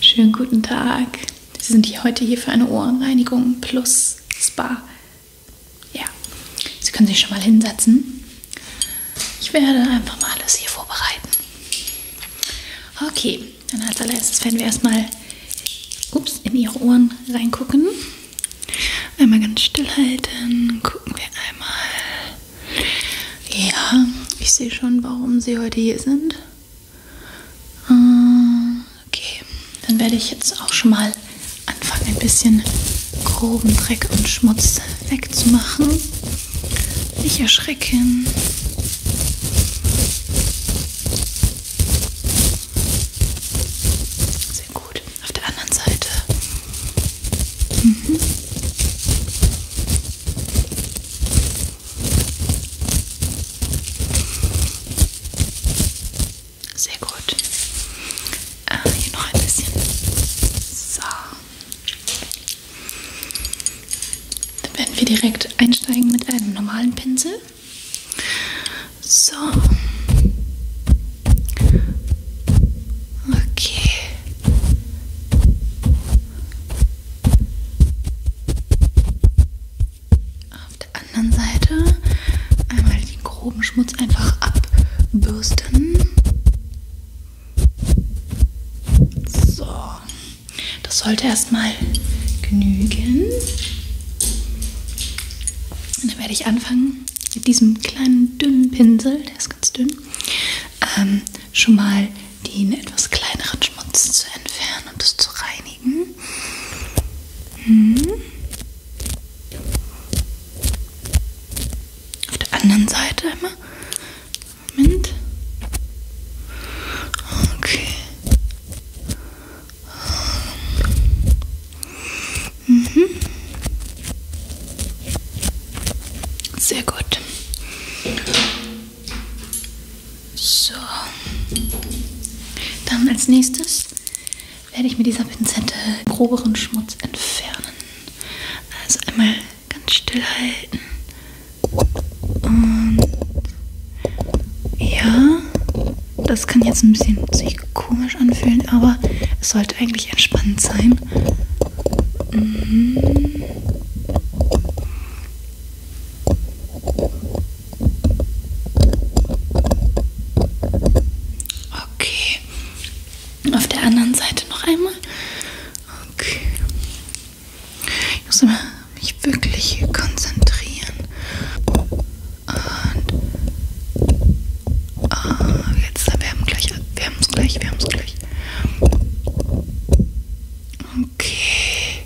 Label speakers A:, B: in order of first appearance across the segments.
A: Schönen guten Tag. Sie sind heute hier für eine Ohrenreinigung plus Spa. Ja, Sie können sich schon mal hinsetzen. Ich werde einfach mal alles hier vorbereiten. Okay, dann als allererstes werden wir erstmal ups, in Ihre Ohren reingucken. Einmal ganz still halten. Gucken wir einmal. Ja, ich sehe schon, warum Sie heute hier sind. Okay, dann werde ich jetzt auch schon mal anfangen, ein bisschen groben Dreck und Schmutz wegzumachen. Nicht erschrecken. Sehr gut. Auf der anderen Seite. Mhm. Sehr gut. Äh, hier noch ein bisschen. So. Dann werden wir direkt einsteigen mit einem normalen Pinsel. So. Okay. Auf der anderen Seite einmal den groben Schmutz einfach abbürsten. So, das sollte erstmal genügen. Und dann werde ich anfangen mit diesem kleinen dünnen Pinsel, der ist ganz dünn, ähm, schon mal den etwas kleineren Schmutz zu entfernen und es zu reinigen. Mhm. Auf der anderen Seite einmal. Moment. Okay. Mhm. Sehr gut. So. Dann als nächstes werde ich mit dieser Pinzette groberen Schmutz entfernen. Also einmal ganz still halten. Und ja, das kann jetzt ein bisschen sich komisch anfühlen, aber es sollte eigentlich entspannend sein. Mhm. Okay. Auf der anderen Seite noch einmal. Okay. Ich muss immer mich wirklich hier konzentrieren. Und ah, jetzt, wir haben gleich, wir haben es gleich, wir haben es gleich. Okay.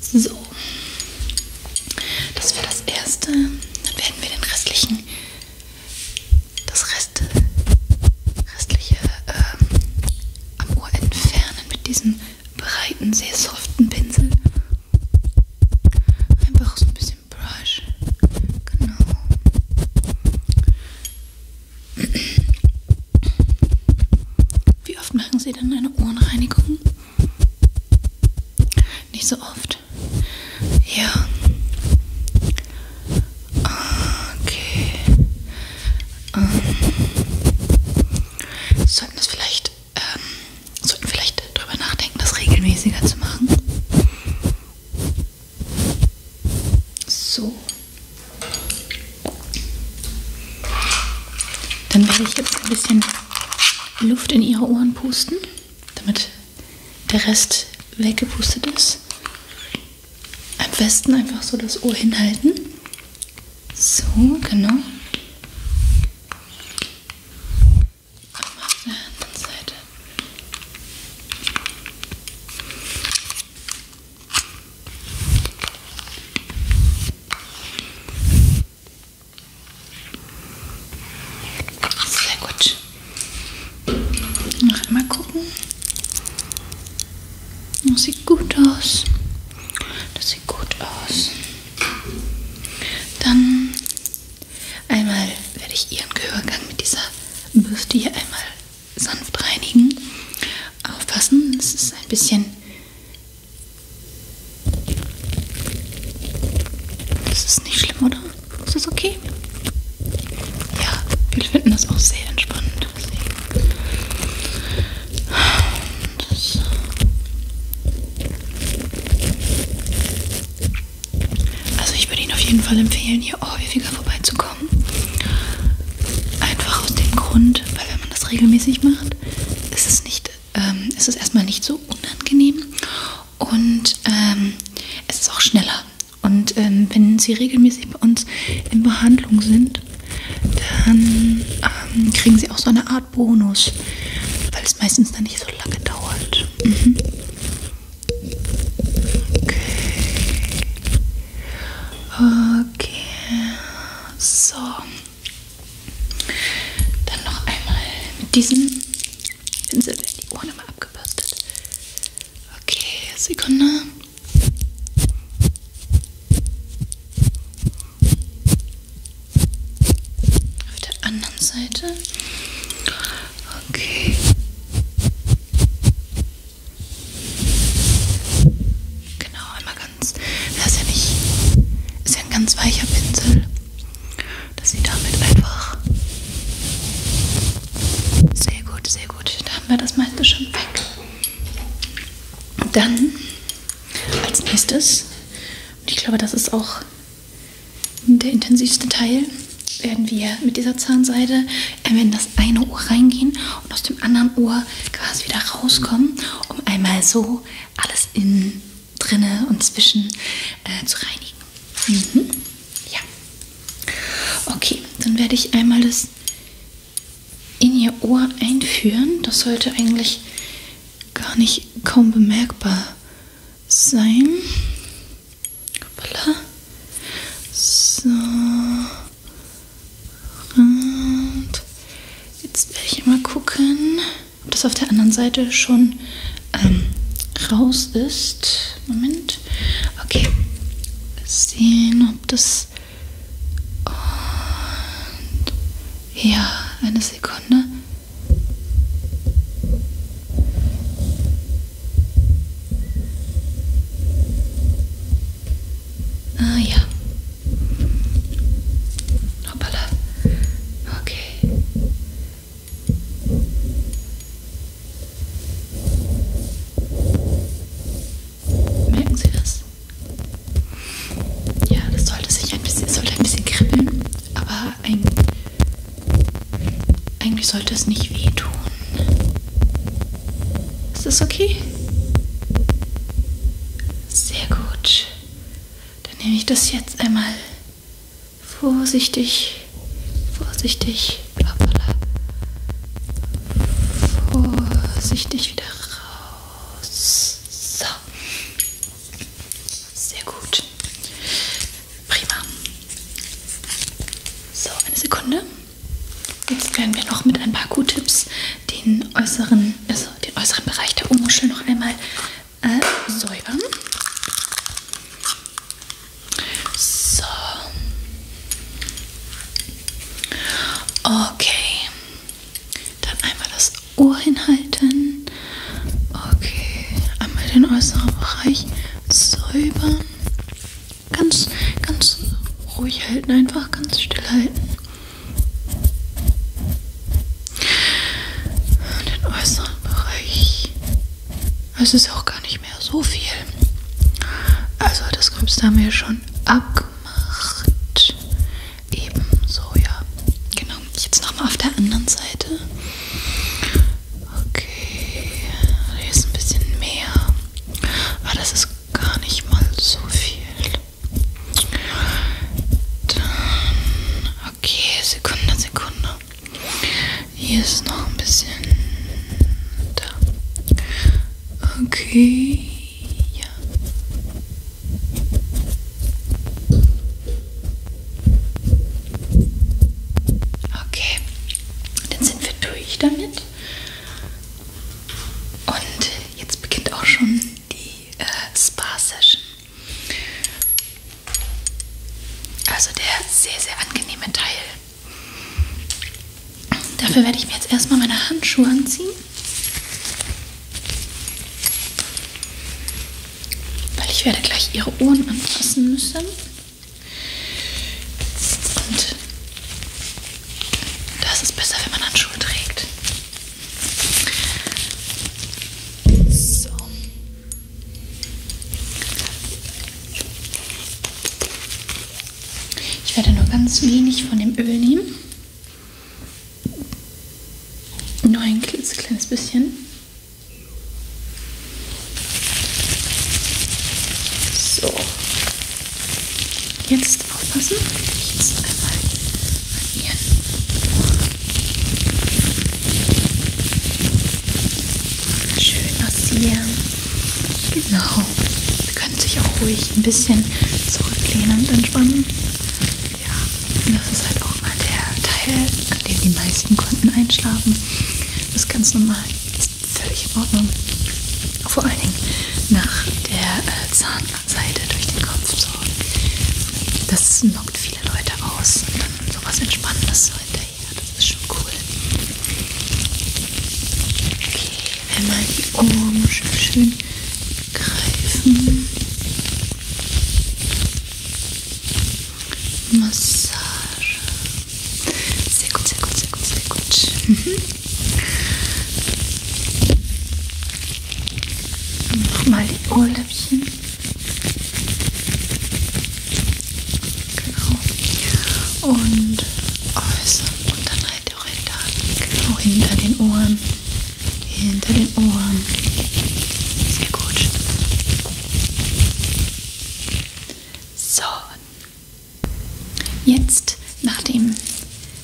A: So. Das wäre das erste. Dann werden wir den restlichen, das Rest, restliche ähm, am Ohr entfernen mit diesem breiten, sehr soften Pinsel. Einfach so ein bisschen Brush. Genau. Wie oft machen Sie denn eine Ohrenreinigung? Nicht so oft. Ja. Okay. Ähm. Sollten das vielleicht, ähm, sollten vielleicht drüber nachdenken, das regelmäßiger zu machen. So. Dann werde ich jetzt ein bisschen Luft in ihre Ohren pusten, damit der Rest weggepustet ist. Am besten einfach so das Ohr hinhalten. So, genau. Und auf der anderen Seite sehr gut. Noch einmal gucken. Das oh, sieht gut aus. Das sieht gut aus. Dann Einmal werde ich Ihren Gehörgang mit dieser Bürste hier einmal sanft reinigen. Aufpassen, es ist ein bisschen. Das ist nicht schlimm, oder? Ist das okay? Ja, wir finden das auch sehr entspannend. Das also ich würde Ihnen auf jeden Fall empfehlen, hier auch häufiger vorbeizukommen. Einfach aus dem Grund, weil wenn man das regelmäßig macht, ist es nicht, ähm, ist es erstmal nicht so unangenehm und ähm, es ist auch schneller. Und ähm, wenn Sie regelmäßig bei uns in Behandlung sind, dann ähm, kriegen Sie auch so eine Art Bonus, weil es meistens dann nicht so lange dauert. Mhm. Okay. Okay. So. Dann noch einmal mit diesem Pinsel werden die Ohren immer abgebürstet. Okay, Sekunde. Auf der anderen Seite. Okay. Genau, einmal ganz. Das ist ja nicht. Ist ja ein ganz weicher Pinsel, dass sie damit einfach. Sehr gut, sehr gut. Da haben wir das meiste schon weg. Dann als nächstes, und ich glaube, das ist auch der intensivste Teil werden wir mit dieser Zahnseide in das eine Ohr reingehen und aus dem anderen Ohr quasi wieder rauskommen, um einmal so alles innen, drinne und zwischen äh, zu reinigen. Mhm. Ja. Okay, dann werde ich einmal das in ihr Ohr einführen. Das sollte eigentlich gar nicht kaum bemerkbar sein. Hoppala. So. Und jetzt werde ich mal gucken, ob das auf der anderen Seite schon ähm, raus ist. Moment. Okay. Mal sehen, ob das. Und ja, eine Sekunde. Ah ja. Hoppala. Okay. Merken Sie das? Ja, das sollte sich ein bisschen, sollte ein bisschen kribbeln, aber ein eigentlich sollte es nicht wehtun. Ist das okay? Sehr gut. Dann nehme ich das jetzt einmal vorsichtig, vorsichtig, blablabla, vorsichtig wieder raus. So. Sehr gut. Prima. So, eine Sekunde. Jetzt werden wir noch mit ein paar Q-Tipps den äußeren, also den äußeren Bereich der Ohrmuschel noch einmal äh, säubern. So. Okay. Dann einmal das Ohr hinhalten. Okay, einmal den äußeren Bereich säubern. Ganz, ganz ruhig halten, einfach ganz still halten. Den äußeren Bereich. Es ist auch gar nicht mehr so viel. Also das Gröbste haben wir schon abgemacht. Ebenso, ja. Genau. Jetzt nochmal auf der anderen Seite. Okay, hier ist ein bisschen mehr. Aber das ist gar nicht mal so viel. Dann, okay, Sekunde, Sekunde. Hier ist noch ein bisschen da. Okay, ja. Okay, dann sind wir durch damit. Und jetzt beginnt auch schon die äh, Spa-Session. Also der sehr, sehr angenehme Teil. Dafür werde ich mir jetzt erstmal meine Handschuhe anziehen. Weil ich werde gleich ihre Ohren anfassen müssen. Und das ist besser, wenn man Handschuhe trägt. So. Ich werde nur ganz wenig von dem Öl nehmen. Nur ein klitzekleines bisschen. So. Jetzt aufpassen. Jetzt einmal an ihren Ohren. Schön massieren. Genau. Sie können sich auch ruhig ein bisschen zurücklehnen und entspannen. Ja, das ist halt auch mal der Teil, an dem die meisten Kunden einschlafen. Das ist ganz normal, das ist völlig in Ordnung. Vor allen Dingen nach der äh, Zahnseite durch den Kopf. So. Das lockt viele Leute aus. Und dann sowas Entspannendes so hinterher. Das ist schon cool. Okay, einmal die Ohren schön, schön greifen. Massage. Sehr gut, sehr gut, sehr gut, sehr gut. Mhm. Nochmal die Ohrläppchen. Genau. Und äußern und dann halt auch hinter, genau hinter den Ohren hinter den Ohren. Sehr gut. So. Jetzt, nachdem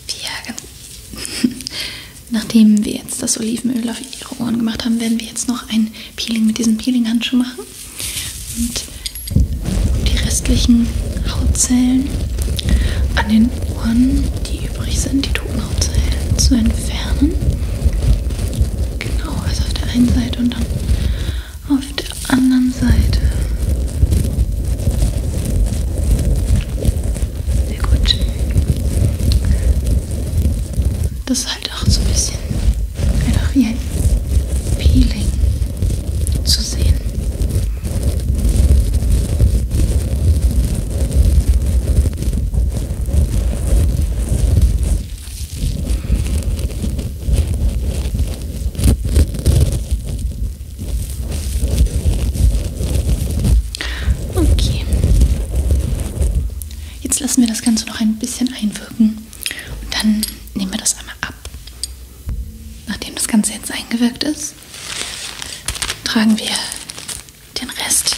A: wir, nachdem wir jetzt das Olivenöl auf ihre Ohren gemacht haben, werden wir jetzt noch ein Peeling mit diesem Peeling-Handschuh machen. Und die restlichen Hautzellen an den Spuren, die übrig sind, die toten Hautzellen zu entfernen. Genau, also auf der einen Seite und dann auf der anderen Seite. Sehr gut. Das ist halt auch so ein bisschen einfach wie ein Peeling zu sehen. Okay. Jetzt lassen wir das Ganze noch ein bisschen einwirken und dann nehmen wir das einmal ab. Nachdem das Ganze jetzt eingewirkt ist, tragen wir den Rest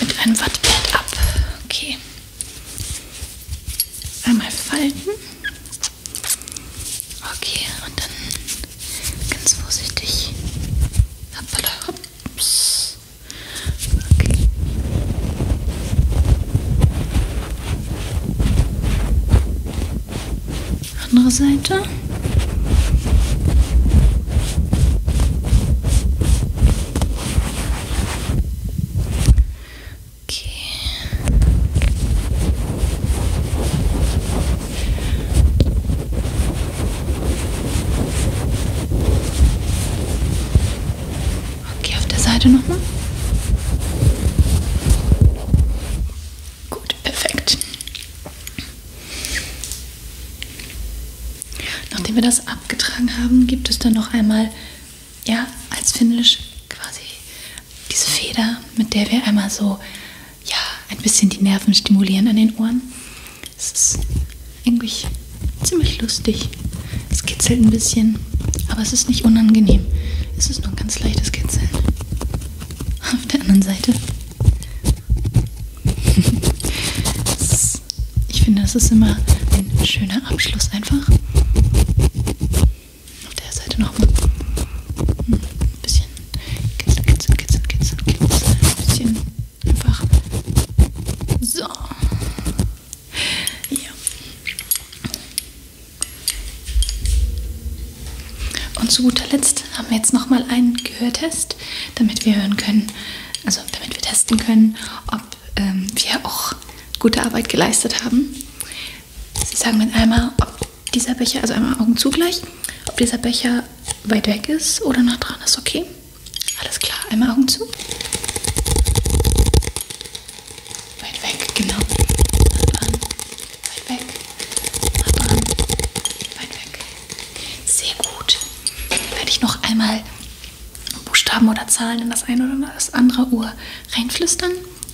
A: mit einem Wattpad ab. Okay. Einmal falten. Okay, und dann ganz vorsichtig. Hoppala, hops. Okay. Andere Seite. Okay. Okay, auf der Seite nochmal. Gut, perfekt. Nachdem wir das abgetragen haben, gibt es dann noch einmal, ja, als Finish quasi diese Feder, mit der wir einmal so, ja, ein bisschen die Nerven stimulieren an den Ohren. Es ist eigentlich ziemlich lustig. Es kitzelt ein bisschen. Kitzeln. Aber es ist nicht unangenehm. Es ist nur ein ganz leichtes Kitzeln. Auf der anderen Seite. ich finde, das ist immer ein schöner Abschluss einfach. Auf der Seite nochmal. Hm, ein bisschen kitzeln, kitzeln, kitzeln, kitzeln, kitzeln. Ein bisschen einfach. So. Ja. Und zu guter Letzt haben wir jetzt nochmal einen Gehörtest, damit wir hören können, also damit wir testen können, ob ähm, wir auch gute Arbeit geleistet haben. Sie sagen dann einmal, ob dieser Becher, also einmal Augen zugleich, ob dieser Becher weit weg ist oder nah dran ist, okay? Alles klar, einmal Augen zu. Weit weg, genau. Hand an. Weit weg. Hand an. Weit weg. Sehr gut. Werde ich noch einmal Buchstaben oder Zahlen in das eine oder das andere Ohr reinflüstern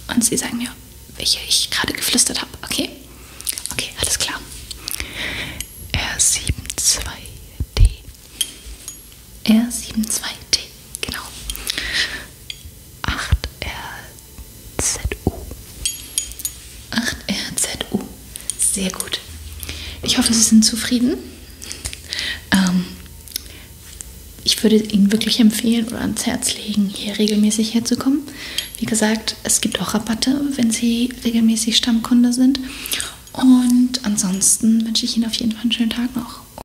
A: und Sie sagen mir, welche ich gerade geflüstert habe. Okay? Okay, alles klar. R72D. R72T, genau. 8RZU. 8RZU. Sehr gut. Ich hoffe, Sie sind zufrieden. Ähm, ich würde Ihnen wirklich empfehlen oder ans Herz legen, hier regelmäßig herzukommen. Wie gesagt, es gibt auch Rabatte, wenn Sie regelmäßig Stammkunde sind. Und ansonsten wünsche ich Ihnen auf jeden Fall einen schönen Tag noch.